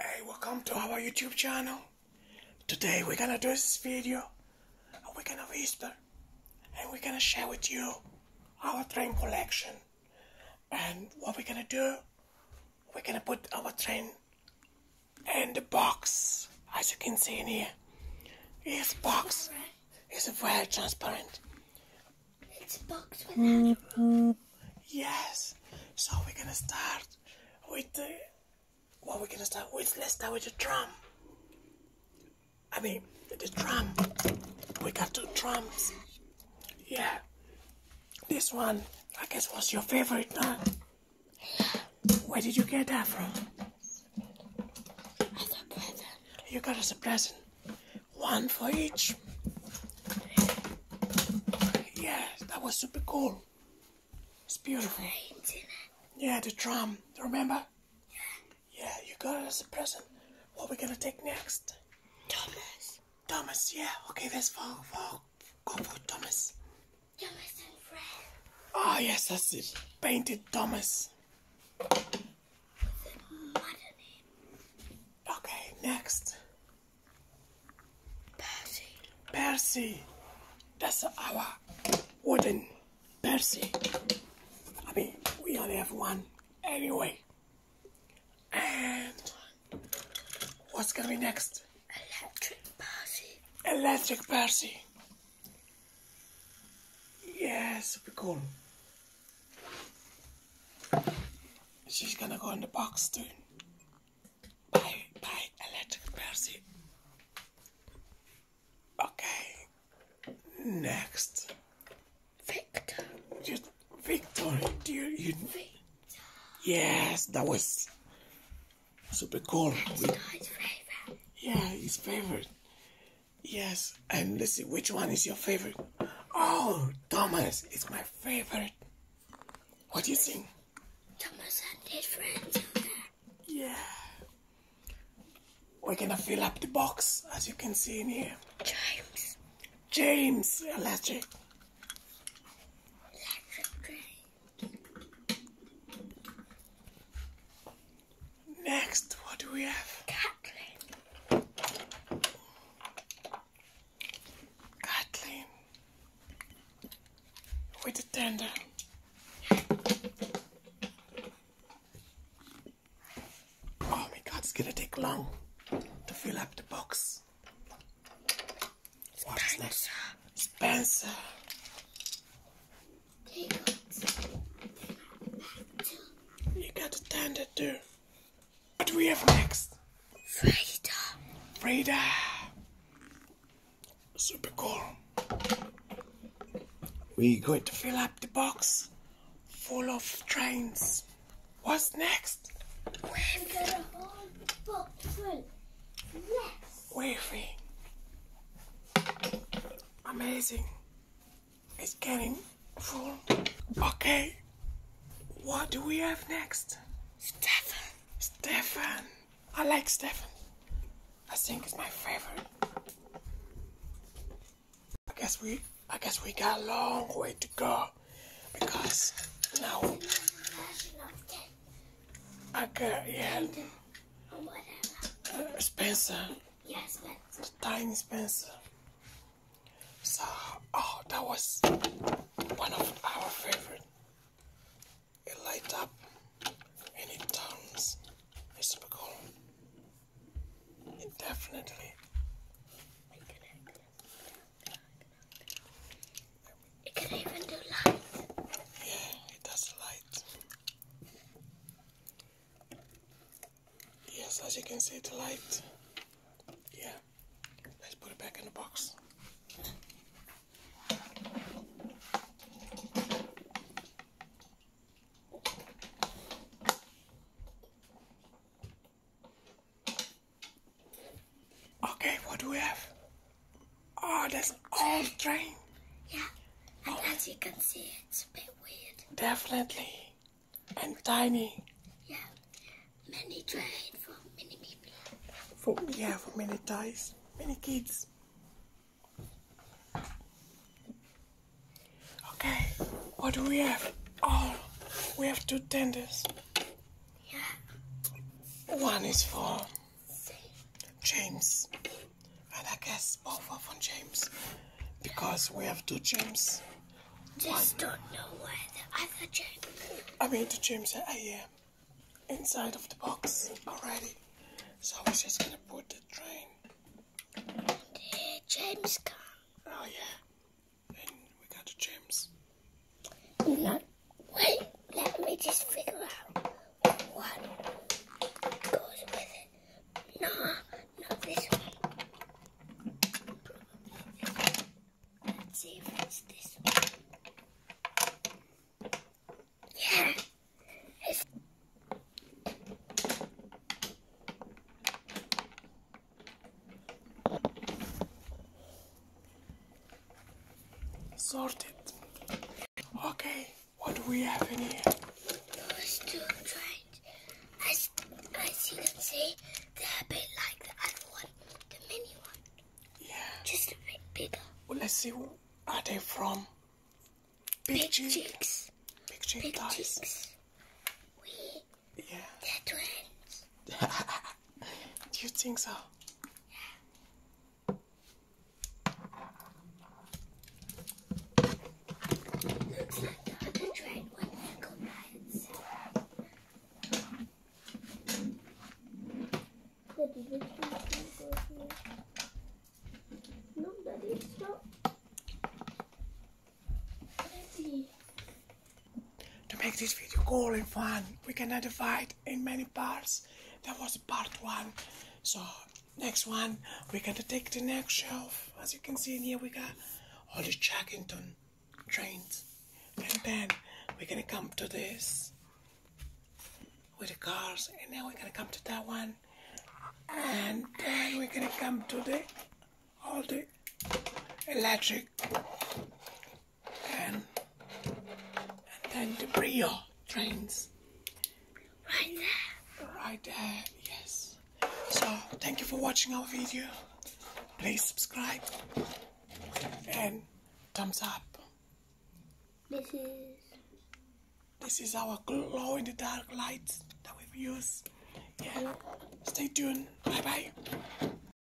Hey, welcome to our YouTube channel. Today we're gonna do this video a weekend are going and we're gonna share with you our train collection. And what we're gonna do, we're gonna put our train in the box. As you can see in here, this box is very transparent. It's bugs without a mm-hmm. roof. Yes. So we're gonna start with the what we're gonna start with. Let's start with the drum. I mean the drum. We got two drums. Yeah. This one, I guess, was your favorite, huh? Where did you get that from? You got us a present one for each. Yes, that was super cool. It's beautiful. Yeah, the drum. remember? Yeah. Yeah, you got it as a present. What are we gonna take next? Thomas. Thomas, yeah. Okay, that's for for go for Thomas. Thomas and Fred. Oh yes, that's it. Painted Thomas. Okay, next. Percy. Percy. That's our wooden Percy. I mean, we only have one anyway. And what's gonna be next? Electric Percy. Electric Percy. Yes, super cool. She's gonna go in the box soon. Bye, bye, electric Percy. Okay, next. Victor. Victor, dear. Yes, that was super cool. Yeah, his favorite. Yes, and listen. which one is your favorite. Oh, Thomas is my favorite. What do you think? Thomas and his friends. Yeah. We're gonna fill up the box, as you can see in here. James. James, electric. Electric train. Next, what do we have? Kathleen. Kathleen. With a tender. Oh my god, it's gonna take long to fill up the box. What's next? Spencer. You got to stand it too. What do we have next? Frida. Frida. Super cool. We're going to fill up the box full of trains. What's next? Wavy. Wavy. Amazing. It's getting full. Okay. What do we have next? Stefan. Stefan. I like Stefan. I think it's my favorite. I guess we I guess we got a long way to go because now I got yeah. Uh, Spencer Yes, yeah, Spencer. Tiny Spencer. So, oh, that was one of our favorite. It lights up and it turns. It's super It definitely. It can even do lights. it does lights. Yes, as you can see, the light. Yeah, let's put it back in the box. Okay, what do we have? Oh, that's an old train. Yeah, and oh. as you can see, it's a bit weird. Definitely. And tiny. Yeah, many train for many people. For, yeah, for many toys, many kids. Okay, what do we have? Oh, we have two tenders. Yeah. One is for James. And I guess both of them, James. Because we have two James. Just don't know where the other James I mean, the James that I am inside of the box already. So I was just gonna put the train. The James car. Oh, yeah. And we got the James. No, wait, let me just figure out one goes with it. Nah, not this one. Let's see if it's this one. Yeah. It's Sorted. Okay, what do we have in here? Those two trains. I, I see them say they're a bit like the other one, the mini one. Just a bit bigger. Well, let's see, who are they from? Big, Big cheek. cheeks. Big cheeks. We, yeah. They're twins. do you think so? Yeah. No, Daddy, stop. Daddy. To make this video cool and fun, we can identify in many parts. That was part one. So next one, we're gonna take the next shelf. As you can see in here, we got all the Jackington trains. And then we're gonna come to this with the cars. And then we're gonna come to that one. And then we're gonna come to the all the electric and, then the Brio trains. Right there. Right there, yes. So, thank you for watching our video. Please subscribe and thumbs up. This is... This is our glow in the dark lights that we've used. Yeah. Stay tuned. Bye bye.